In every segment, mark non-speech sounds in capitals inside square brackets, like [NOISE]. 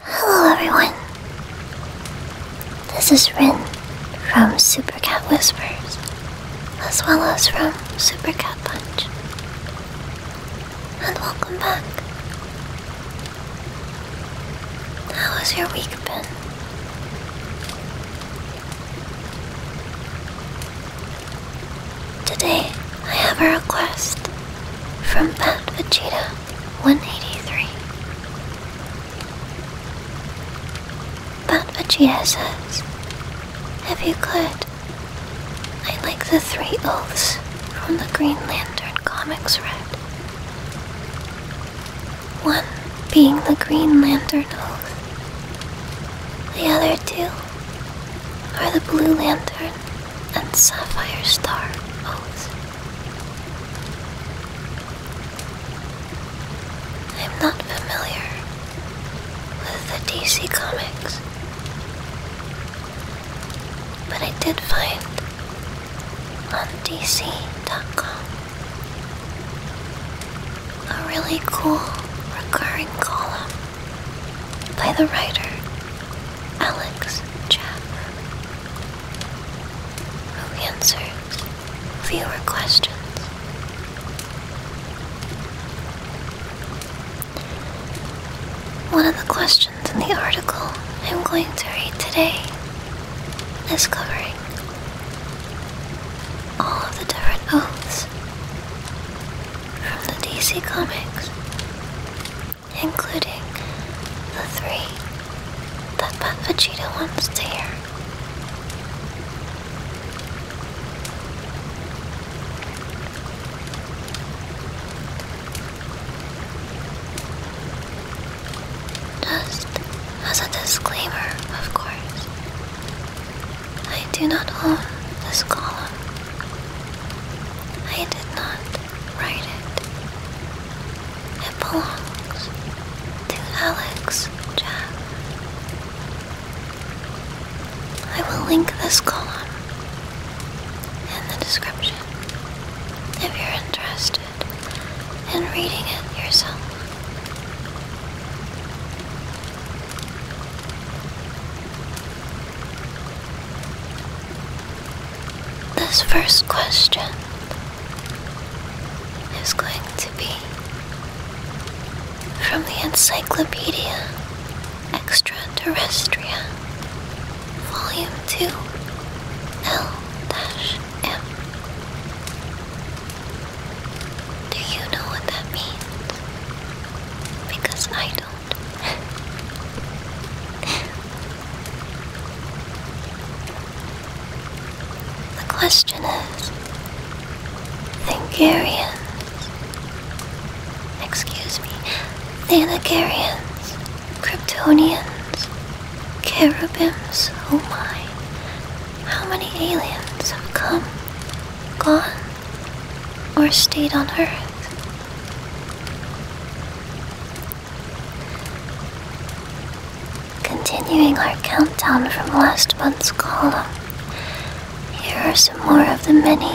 Hello everyone. This is Rin from Super Cat Whispers, as well as from Super Cat Punch. And welcome back. How has your week been? Today I have a request from Pat Vegeta. 183. But Vegeta says, if you could, I like the three oaths from the Green Lantern comics Red. One being the Green Lantern oath. The other two are the Blue Lantern and sapphire star oath. I'm not familiar with the DC comics, but I did find on DC.com a really cool recurring column by the writer Alex Chapman will answer fewer questions. One of the questions in the article I'm going to read today is covering all of the different oaths from the DC Comics including the three that Pat Vegeta wants to hear. Just as a disclaimer, of course, I do not own this column. I did not write it. It belongs to Alex Jack. I will link this column in the description if you're interested in reading it yourself. This first question is going to be from the Encyclopedia Extraterrestria, Volume 2, L-M. Do you know what that means? Because I don't. [LAUGHS] The question is, Thangarians, excuse me, Thanagarians, Kryptonians, Cherubims, oh my, how many aliens have come, gone, or stayed on Earth? Continuing our countdown from last month's column, here are some more of the many,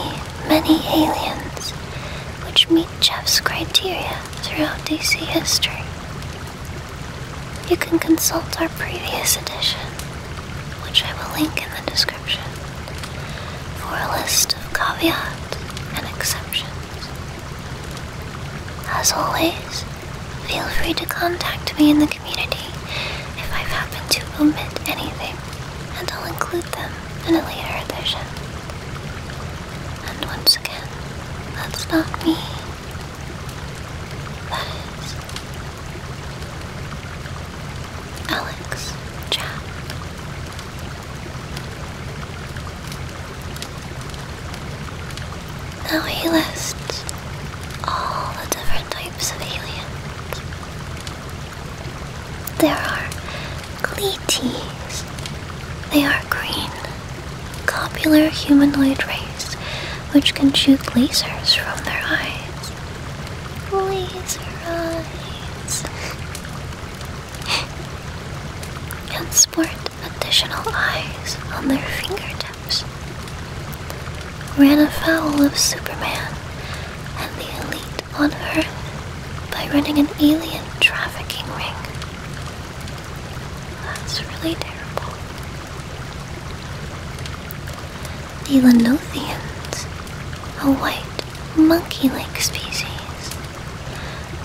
many aliens which meet Jeff's criteria throughout DC history. You can consult our previous edition, which I will link in the description, for a list of caveats and exceptions. As always, feel free to contact me in the community if I've happened to omit anything, and I'll include them in a later edition. And once again, that's not me. That is Alex Chap. Now he lists all the different types of aliens. There are Gleeties. They are green, copular humanoid race which can shoot lasers from their eyes. Laser eyes and sport additional eyes on their fingertips, ran afoul of Superman and the elite on Earth by running an alien trafficking ring. That's really terrible. The Lenothians, a white monkey like species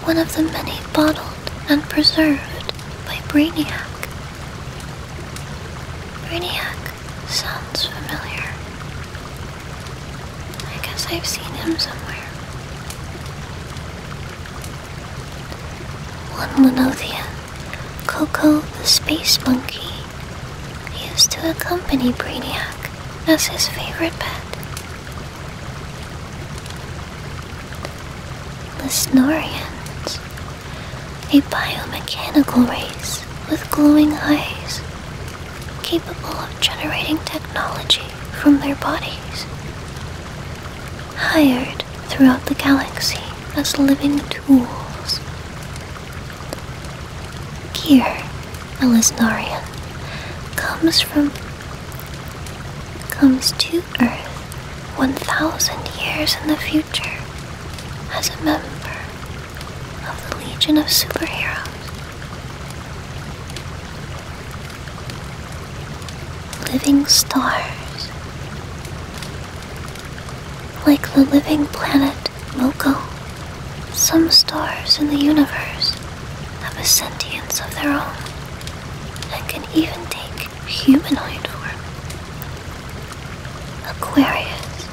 one of the many bottled and preserved by Brainiac. Brainiac sounds familiar. I guess I've seen him somewhere. One Lenothian, Coco the Space Monkey, used to accompany Brainiac as his favorite pet. The Snorians, a biomechanical race with glowing eyes, capable of generating technology from their bodies, hired throughout the galaxy as living tools. Gear, a Lisnarian, comes from comes to Earth 1,000 years in the future as a member of the Legion of Superheroes. Living stars, like the living planet Moco, some stars in the universe have a sentience of their own and can even take humanoid form. Aquarius,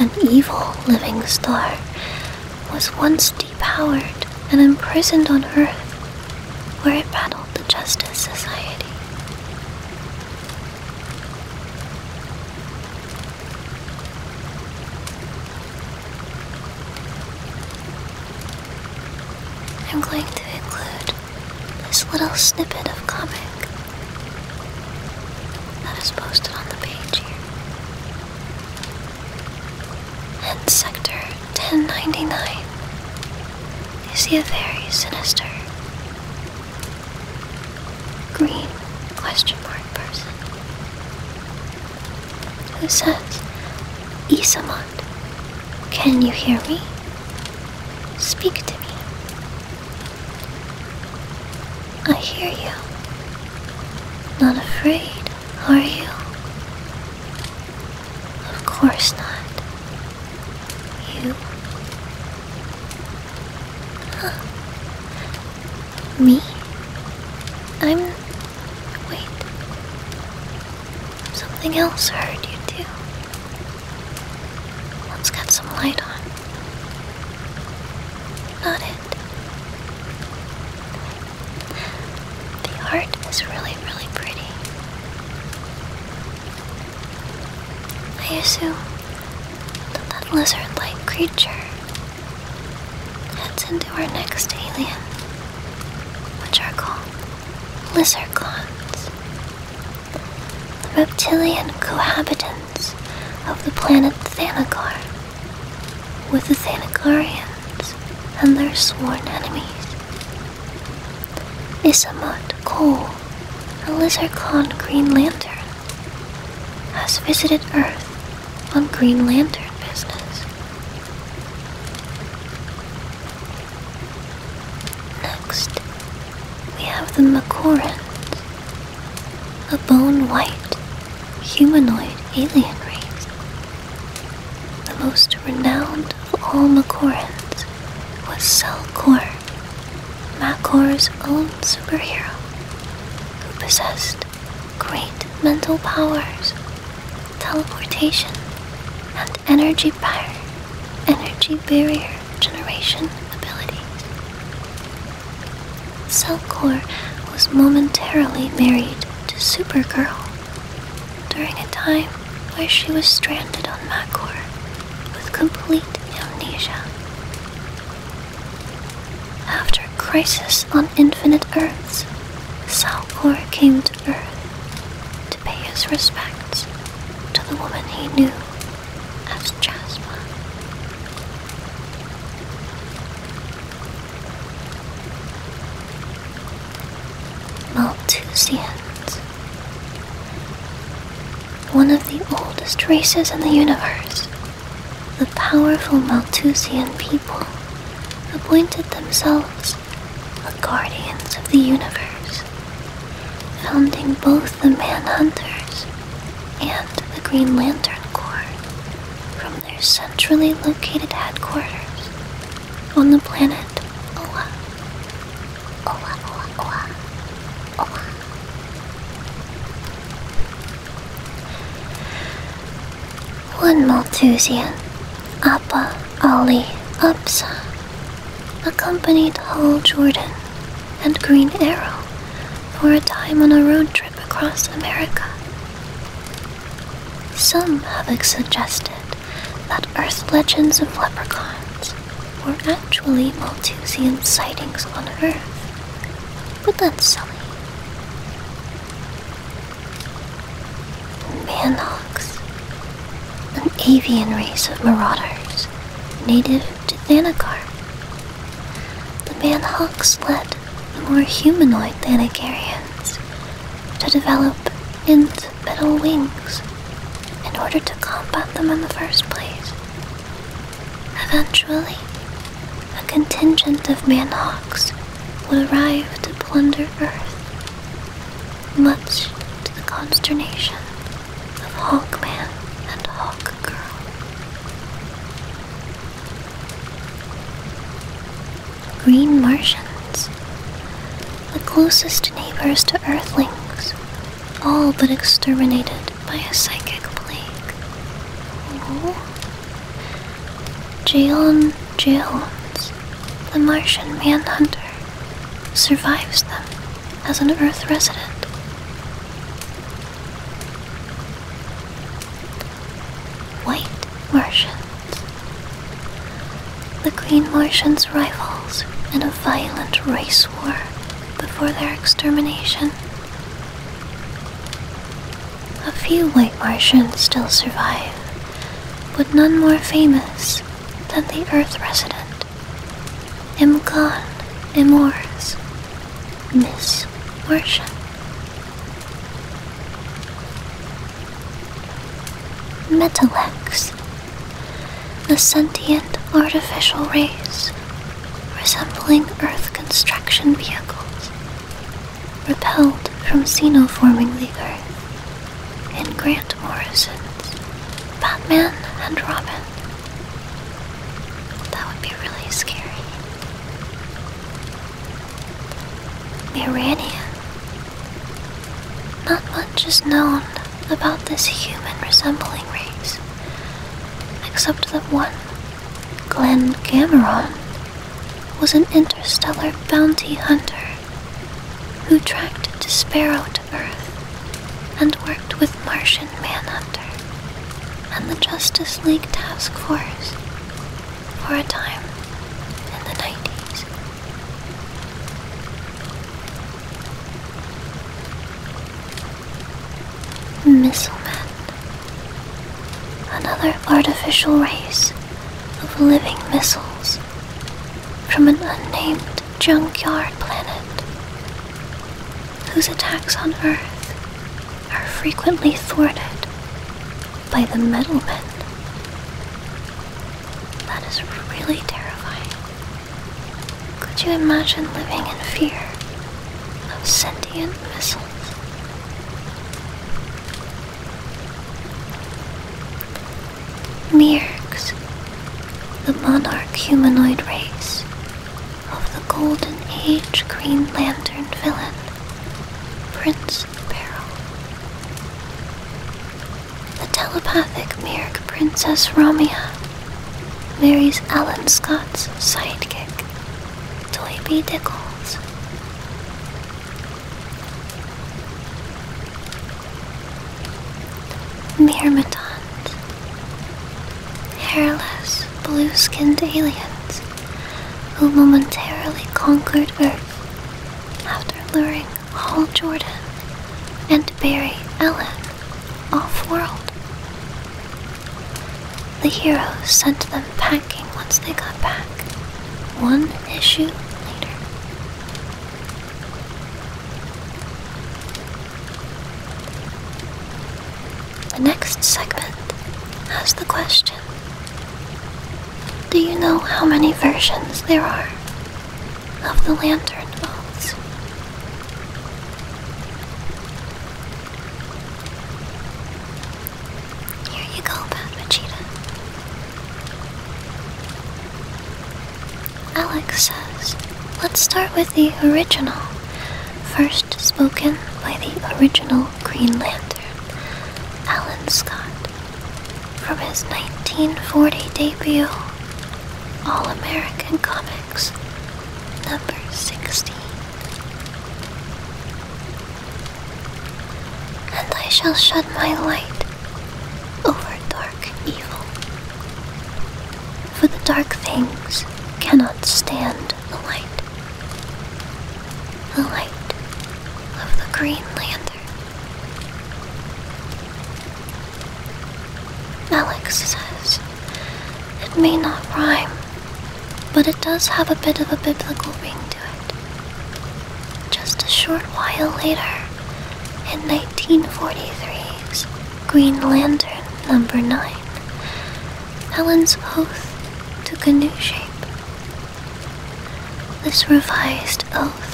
an evil living star, was once depowered and imprisoned on Earth, where it battled the Justice Society. I'm going to include this little snippet of comic that is posted on the page here. And Sector 1099, you see a very sinister green question mark person. Who says, Isamond, can you hear me? Speak to me. I hear you. Not afraid, are you? Of course not. You? Huh. Me? I'm Wait. Something else hurt you too. Let's get some light on. Not it. The heart is really, really pretty. I assume that that lizard-like creature heads into our next alien which are called lizard The reptilian cohabitants of the planet Thanagar with the Thanagarians and their sworn enemies. Isamut Cole, a lizard Green Lantern, has visited Earth on Green Lantern business. Next, we have the Macorans, a bone white humanoid alien race, the most renowned of all Macorans was Selkor, Makor's own superhero, who possessed great mental powers teleportation, and energy power, energy barrier generation ability. Cellcore was momentarily married to Supergirl during a time where she was stranded on Makor with complete amnesia. After Crisis on Infinite Earths, Salcor came to Earth to pay his respects to the woman he knew as Jasper. Malthusians, one of the oldest races in the universe, the powerful Malthusian people appointed themselves the guardians of the universe, founding both the Manhunters and the Green Lantern Corps from their centrally located headquarters on the planet Oa. Oa, Oa, Oa, Oa. One Malthusian Appa Ali Absa accompanied Hal Jordan and Green Arrow for a time on a road trip across America. Some have suggested that Earth legends of leprechauns were actually Malthusian sightings on Earth, but that's silly. Manox, an avian race of marauders native to Thanagar. The Manhawks led the more humanoid Thanagarians to develop int metal wings in order to combat them in the first place. Eventually, a contingent of Manhawks would arrive to plunder Earth, much to the consternation of Hawkman and Hawkgirl. Green Martians, the closest neighbors to Earthlings, all but exterminated by a psychic plague. Jalen Jones, the Martian Manhunter, survives them as an Earth resident. White Martians. The Green Martians' rivals in a violent race war before their extermination. A few white Martians still survive, but none more famous than the Earth resident. Imkon Imors, Miss Martian. Metalex, a sentient artificial race resembling Earth construction vehicles repelled from xenoforming the earth in Grant Morrison's Batman and Robin. That would be really scary. Iranian. Not much is known about this human resembling race, except that one, Glenn Cameron, was an interstellar bounty hunter who tracked a sparrow to Earth and worked with Martian Manhunter and the Justice League Task Force for a time in the 90s. Missilemen, another artificial race of living missiles from an unnamed junkyard planet whose attacks on Earth are frequently thwarted by the metalmen. That is really terrifying. Could you imagine living in fear of sentient missiles? Mirks, the monarch humanoid race of the Golden Age Green Lantern villain, Prince Peril. The telepathic Mirk Princess Romia marries Alan Scott's sidekick, Toby Dickles. The Myrmidons, hairless, blue-skinned aliens who momentarily conquered Earth after luring Hall Jordan and Barry Ellen off-world. The heroes sent them packing once they got back, one issue later. The next segment has the question Do you know how many versions there are of the lantern balls? Here you go, Padma Cheetah. Alex says, let's start with the original, first spoken by the original Green Lantern, Alan Scott, from his 1940 debut, All American Comics, number 16 and I shall shed my light over dark evil. For the dark things cannot stand the light, the light of the Green Lantern. Alex says it may not rhyme, but it does have a bit of a biblical ring to it. Just a short while later, in 1943's Green Lantern number 9, Helen's oath took a new shape. This revised oath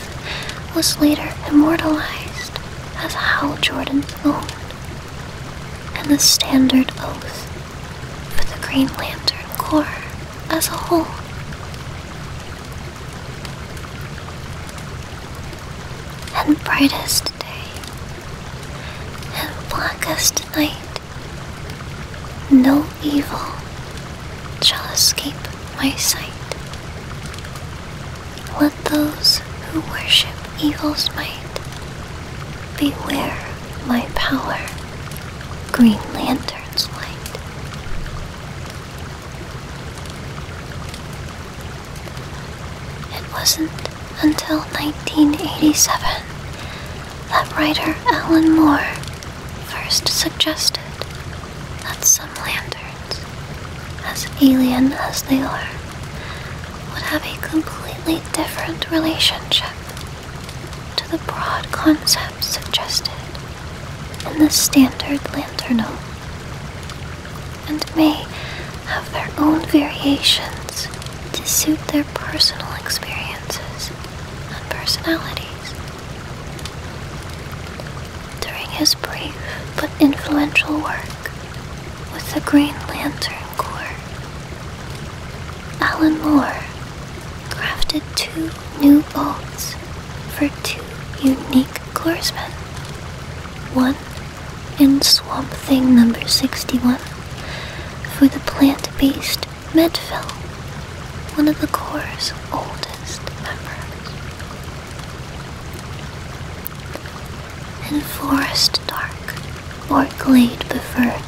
was later immortalized as Hal Jordan's own and the standard oath for the Green Lantern Corps as a whole. And brightest day, and blackest night, no evil shall escape my sight. Let those who worship evil's might beware my power, Green Lantern's light. It wasn't until 1987 that writer Alan Moore first suggested that some lanterns, as alien as they are, would have a completely different relationship to the broad concept suggested in the standard lanternel, and may have their own variations to suit their personal experiences and personalities. During his brief but influential work with the Green Lantern Corps, Alan Moore crafted two new bolts for two unique corpsmen. One in Swamp Thing number 61 for the plant based Medfill, one of the Corps' oldest members. In Forest Dark or Glade Preferred.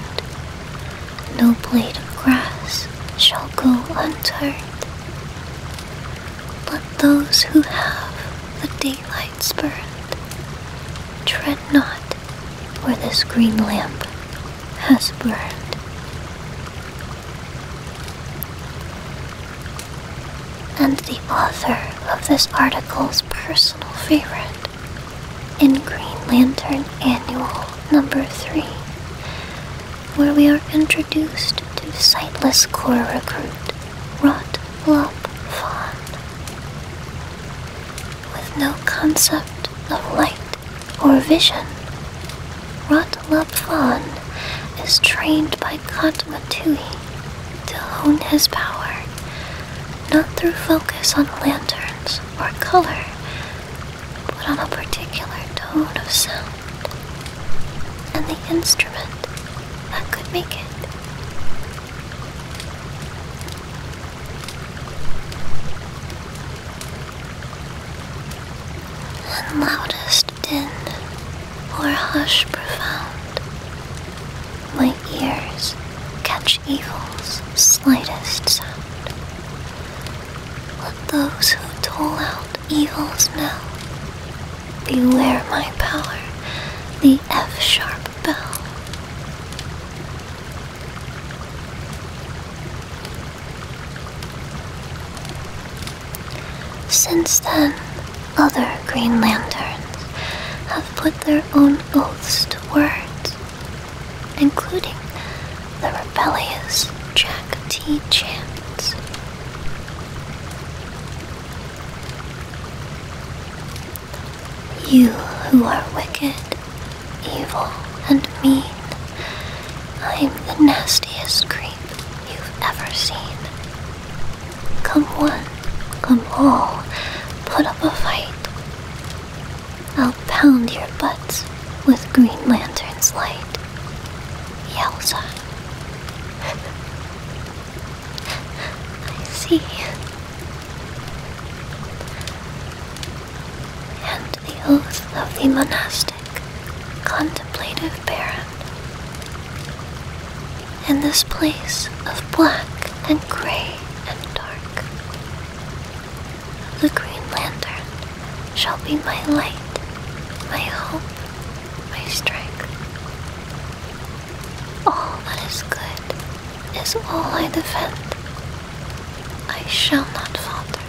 No blade of grass shall go unturned. Let those who have the daylight's spirit tread not where this green lamp has burned. And the author of this article's personal favorite in Green Lantern Annual number 3 where we are introduced to sightless core recruit, Rot Lop With no concept of light or vision, Rot Lop is trained by Katmatui to hone his power, not through focus on lanterns or color, put on a particular tone of sound and the instrument that could make it. And loudest din or hush profound, my ears catch evil's slightest sound, let those who toll out evils now beware my power, the F sharp bell. Since then, other Green Lanterns have put their own oaths to words, including the rebellious Jack T. Chance. You who are wicked, evil, and mean, I'm the nastiest creep you've ever seen. Come one, come all, put up a fight. I'll pound your butts with Green Lantern's light, Yelza. [LAUGHS] I see. And the oath of the monastic, contemplative parent, In this place of black and gray and dark, the Green Lantern shall be my light, my hope, my strength. All that is good is all I defend. I shall not falter.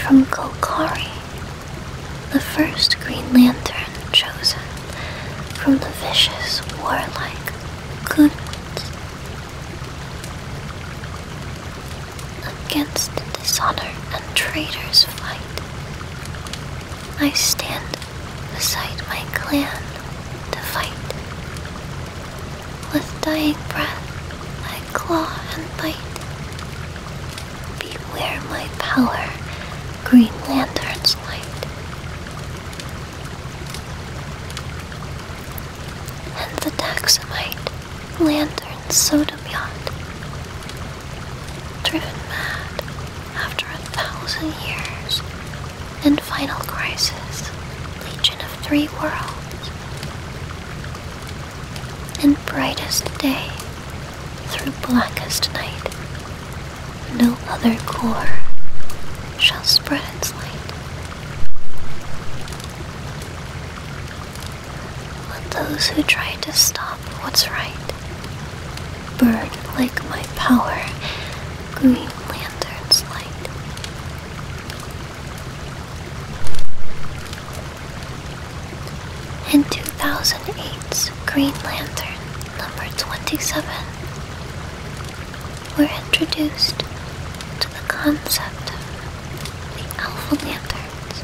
From Golgari, the first Green Lantern chosen from the vicious, warlike, good Against dishonor and traitors fight. I stand beside my clan to fight. With dying breath, I claw and bite. Beware my power, Green Lantern's light and the Daxamite Lantern Sodom Yacht, driven mad after a thousand years and final crisis, Legion of Three Worlds, and brightest day through blackest night, no other core shall spread its light. Let those who try to stop what's right burn like my power, green lantern's light. In 2008's Green Lantern number 27, were introduced to the concept of the Alpha Lanterns,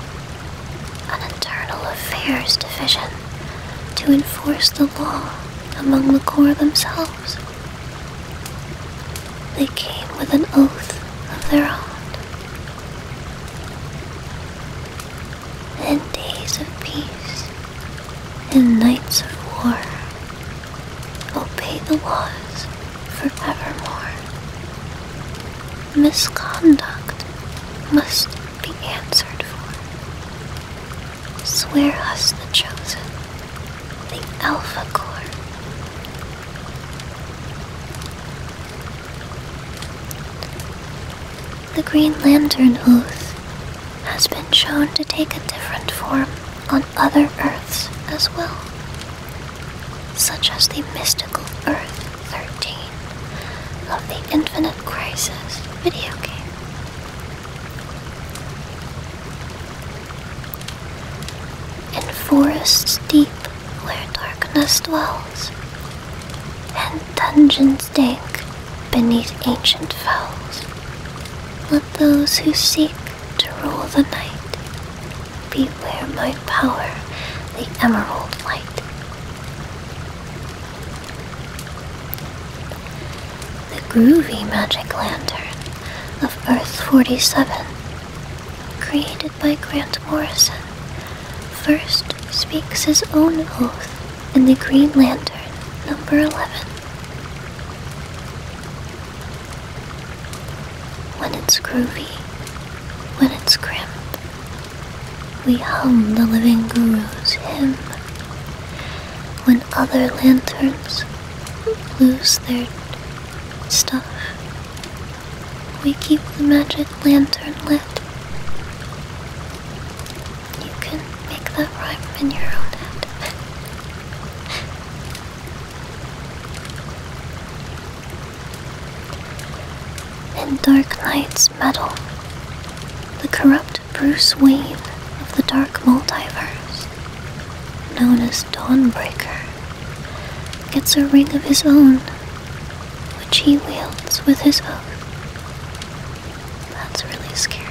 an internal affairs division to enforce the law among the Corps themselves. They came with an oath of their own. In days of peace, in nights of war, obey the laws forevermore. Misconduct must be answered for. Swear us the chosen, the Alpha Corps. The Green Lantern Oath has been shown to take a different form other Earths as well, such as the mystical Earth 13 of the Infinite Crisis video game. In forests deep where darkness dwells, and dungeons dank beneath ancient fells, let those who seek to rule the night. Beware my power, the emerald light. The groovy magic lantern of Earth 47, created by Grant Morrison, first speaks his own oath in the Green Lantern number 11. When it's groovy, when it's grim, we hum the living guru's hymn. When other lanterns lose their stuff, we keep the magic lantern lit. You can make that rhyme in your own head. [LAUGHS] In Dark Knight's Metal, the corrupt Bruce Wayne of the Dark Multiverse, known as Dawnbreaker, gets a ring of his own, which he wields with his own. That's really scary.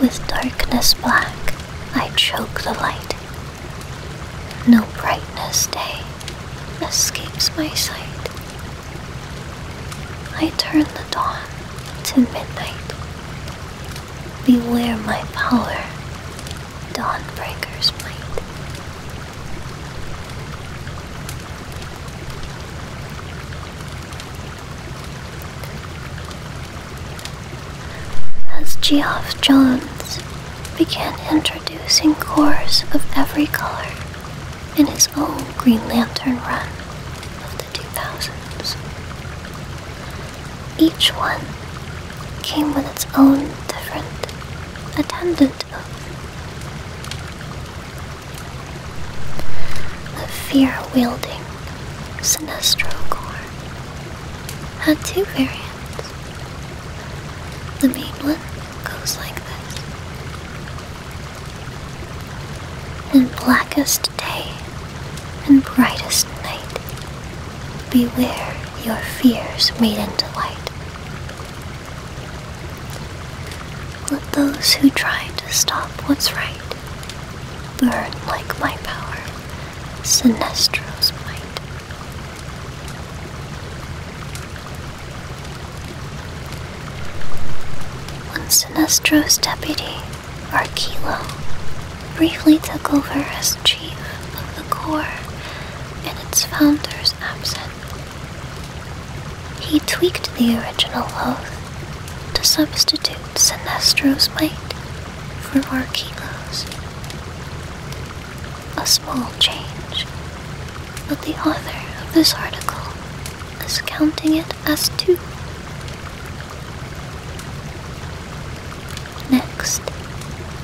With darkness black, I choke the light. No brightness day escapes my sight. I turn the dawn to midnight. Beware my power, dawn breakers might. As Geoff Johns began introducing cores of every color in his own Green Lantern run of the 2000s, each one came with its own different attendant the fear-wielding Sinestro Corps had two variants. The main one goes like this. In blackest day and brightest night, beware your fears made into light. Let those who try to stop what's right burn like my power, Sinestro's might. When Sinestro's deputy, Arkilo, briefly took over as chief of the Corps in its founder's absence, he tweaked the original oath to substitute Sinestro's might for Markilo's. A small change, but the author of this article is counting it as two. Next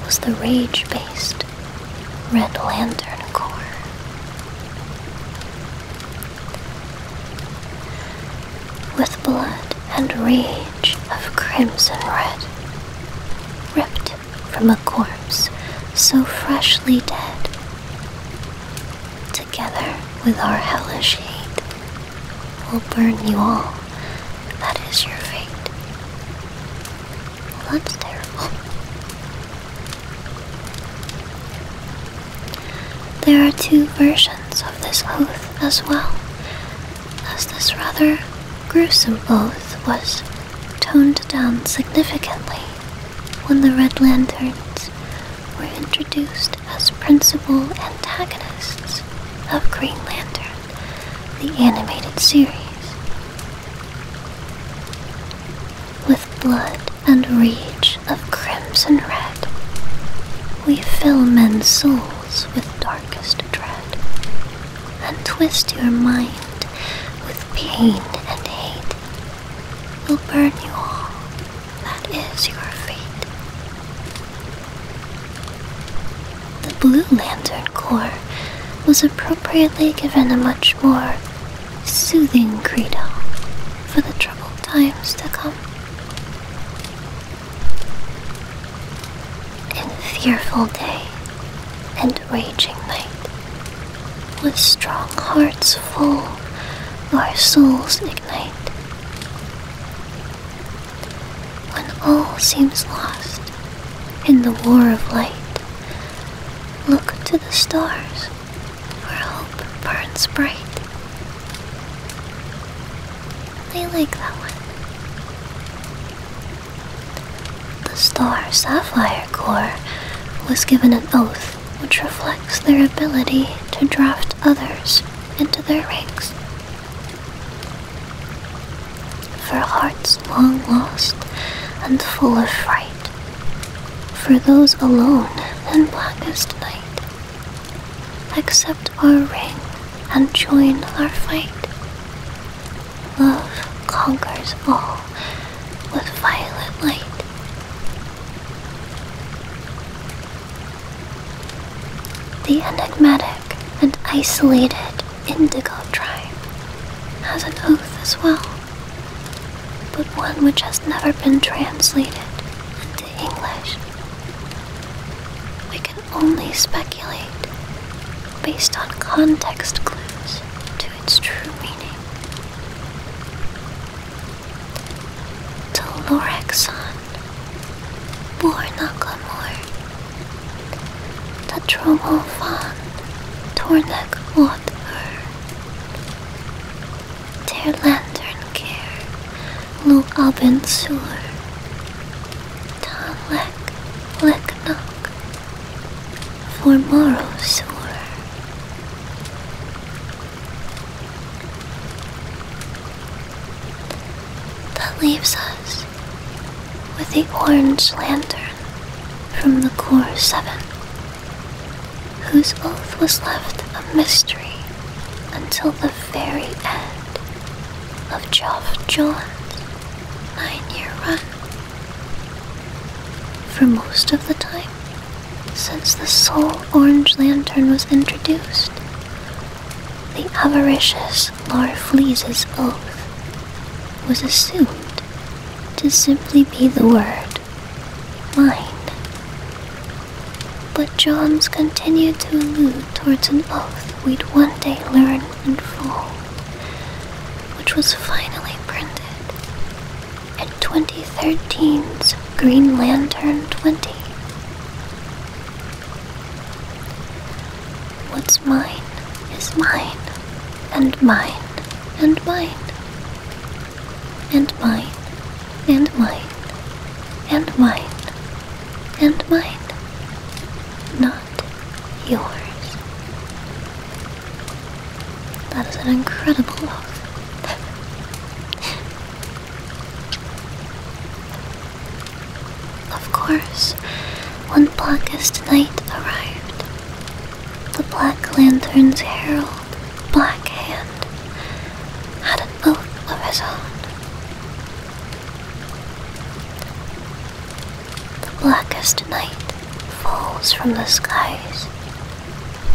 was the rage based Red Lantern Corps with blood and rage of crimson red, ripped from a corpse so freshly dead, together with our hellish hate, we will burn you all. That is your fate. that's terrible. There are two versions of this oath as well, as this rather gruesome oath was toned down significantly when the Red Lanterns were introduced as principal antagonists of Green Lantern, the animated series. With blood and rage of crimson red. We fill men's souls with darkest dread, and twist your mind with pain and hate. We'll burn you all, that is your fate. The Blue Lantern Corps was appropriately given a much more soothing credo for the troubled times to come. In fearful day and raging night, with strong hearts full, our souls ignite. When all seems lost in the war of light, look to the stars where hope burns bright. I like that one. The star Sapphire Corps was given an oath which reflects their ability to draft others into their ranks. For hearts long lost and full of fright, for those alone in blackest night, Accept our ring and join our fight. Love conquers all with violet light. The enigmatic and isolated indigo tribe has an oath as well, but one which has never been translated to English. We can only speculate based on context clues to its true meaning. Tolorexon, Bornaclamore, Tatromofan, Tornek Water, their lantern care, lo abin sur. Ta lek, for morrow sur. That leaves us with the orange lantern from the core seven, whose oath was left a mystery until the very end of Geoff John's nine-year run. For most of the time, since the sole orange lantern was introduced, the avaricious Larfleeze's oath was assumed to simply be the word "mind." But Johns continued to allude towards an oath we'd one day learn and fall, which was finally printed in 2013's Green Lantern 20. What's mine is mine, and mine, and mine, and mine, and mine and mine, and mine, not yours. That is an incredible love. of course, when blackest night arrived, the black lanterns heralded black hand had an will of his own. The blackest night falls from the skies.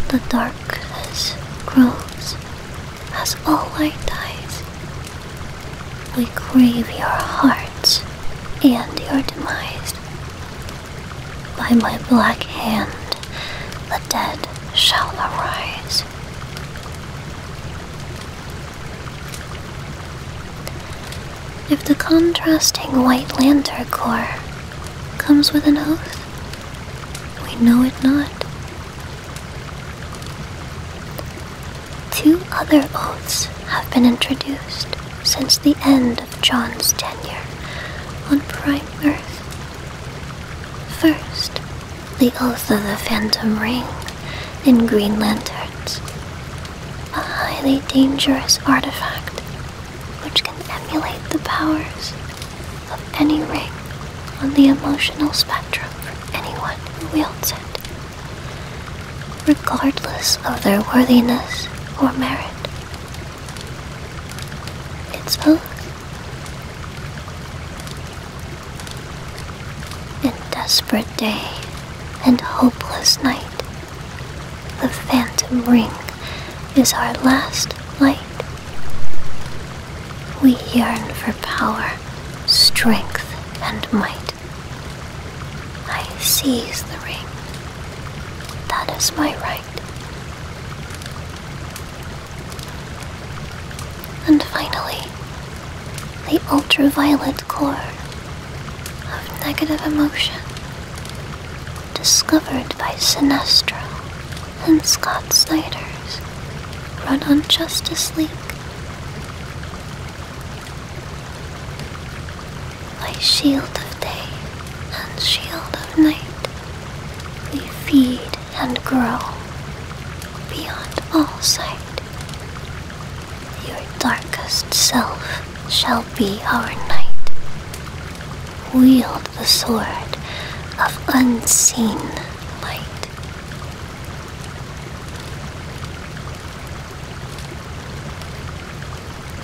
The darkness grows as all light dies. We crave your hearts and your demise. By my black hand, the dead shall arise. If the contrasting white lantern core comes with an oath, we know it not. Two other oaths have been introduced since the end of John's tenure on Prime Earth. First, the Oath of the Phantom Ring, and Green Lanterns, a highly dangerous artifact which can emulate the powers of any ring on the emotional spectrum for anyone who wields it, regardless of their worthiness or merit. Its both. In desperate day and hopeless night, the phantom ring is our last light. We yearn for power, strength, and might. I seize the ring. That is my right. And finally, the ultraviolet core of negative emotion, discovered by Sinestro and Scott Snyder's run on Justice League. my Shield of Day and Shield of Night, we feed and grow beyond all sight. Your darkest self shall be our knight. Wield the sword of unseen light.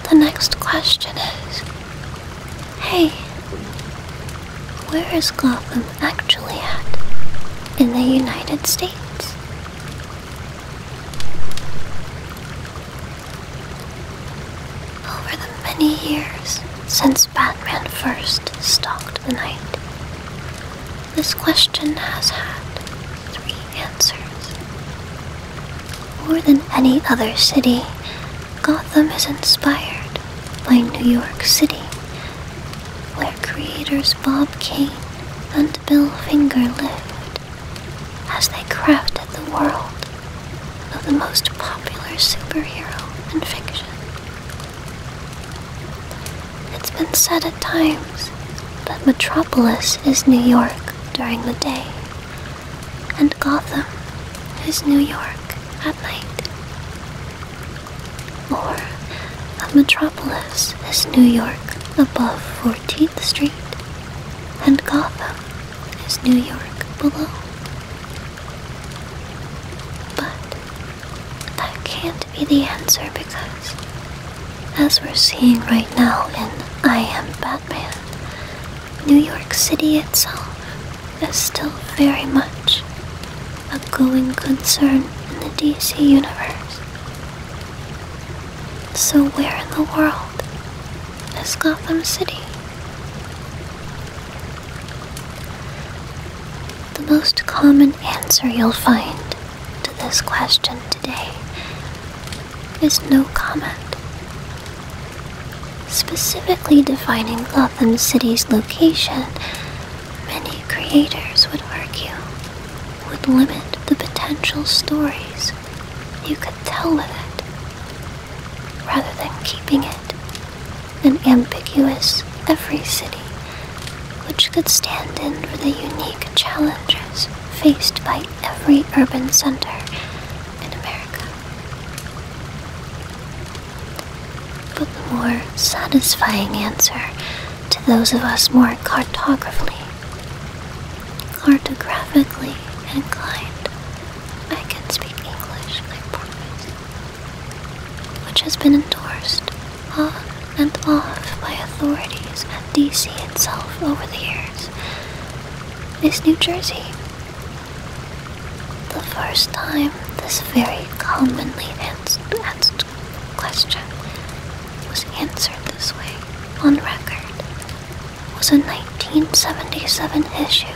The next question is Hey, where is Gotham actually at in the United States? Over the many years since Batman first stalked the night, this question has had three answers. More than any other city, Gotham is inspired by New York City where creators Bob Kane and Bill Finger lived as they crafted the world of the most popular superhero in fiction. It's been said at times that Metropolis is New York during the day, and Gotham is New York at night or a metropolis is New York above 14th Street, and Gotham is New York below. But that can't be the answer because, as we're seeing right now in I Am Batman, New York City itself is still very much a going concern in the DC universe. So where in the world is Gotham City? The most common answer you'll find to this question today is no comment. Specifically defining Gotham City's location many creators would argue, would limit the potential stories you could tell with it, rather than keeping it an ambiguous every city which could stand in for the unique challenges faced by every urban center in America but the more satisfying answer to those of us more cartographically cartographically inclined. I can speak English, I promise. Which has been endorsed on and off by authorities at DC itself over the years, is New Jersey. The first time this very commonly asked question was answered this way on record was a 1977 issue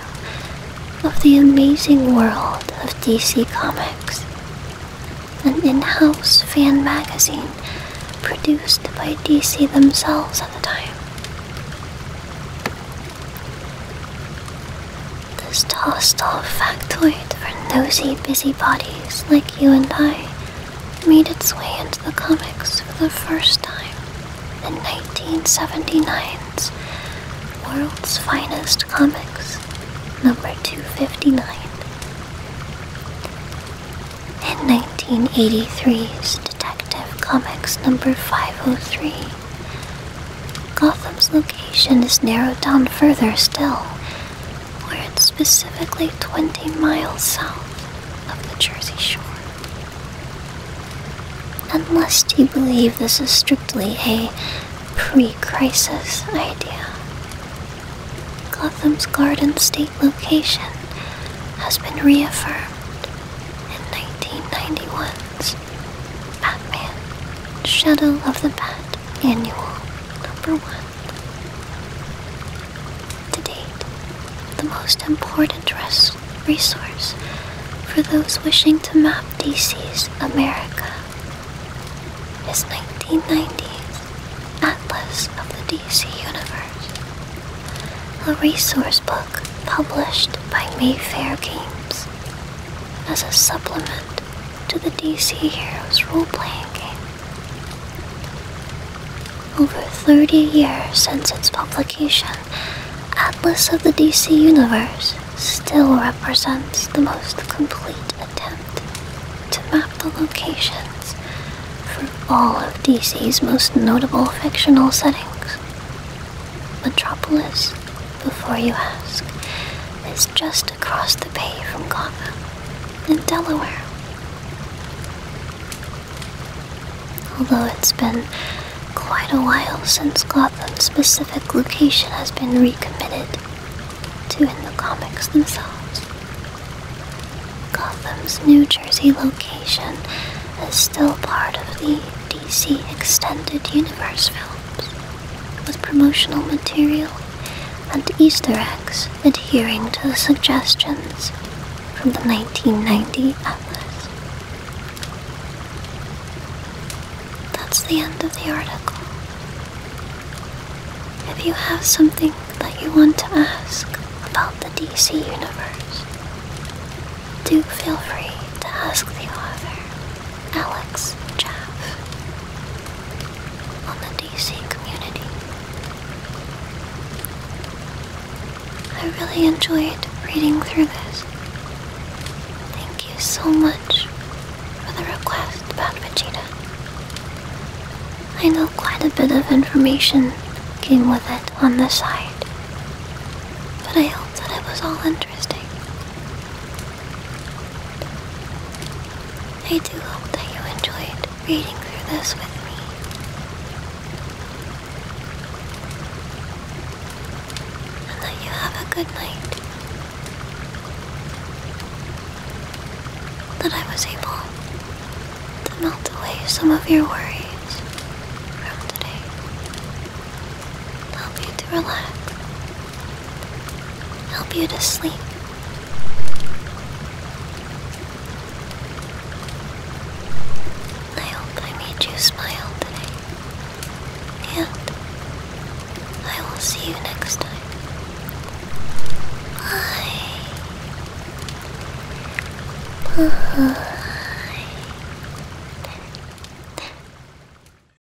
of The Amazing World of DC Comics, an in house fan magazine produced by DC themselves at the time. This hostile factoid for nosy busybodies like you and I made its way into the comics for the first time in 1979's World's Finest Comics, number 259. and 1983's Detective Comics number 503, Gotham's location is narrowed down further still, where it's specifically 20 miles south of the Jersey Shore. Unless you believe this is strictly a pre crisis idea, Gotham's Garden State location has been reaffirmed in 1991's Batman Shadow of the Bat Annual Number 1. To date, the most important resource for those wishing to map DC's America is 1990's Atlas of the DC Universe, a resource book published by Mayfair Games as a supplement to the DC Heroes role playing game. Over 30 years since its publication, Atlas of the DC Universe still represents the most complete attempt to map the locations for all of DC's most notable fictional settings Metropolis, before you ask, it's just across the bay from Gotham in Delaware. Although it's been quite a while since Gotham's specific location has been recommitted to in the comics themselves. Gotham's New Jersey location is still part of the DC Extended Universe films with promotional material and Easter eggs adhering to the suggestions from the 1990 Atlas. That's the end of the article. If you have something that you want to ask about the DC Universe, do feel free to ask the author. Alex Chaff on the DC community. I really enjoyed reading through this. Thank you so much for the request about Vegeta. I know quite a bit of information came with it on the side, but I hope that it was all interesting. I do hope that you enjoyed reading through this with me. And that you have a good night. That I was able to melt away some of your worries from today help you to relax, help you to sleep. I hope I made you smile today, and I will see you next time. Bye. [SIGHS] Bye.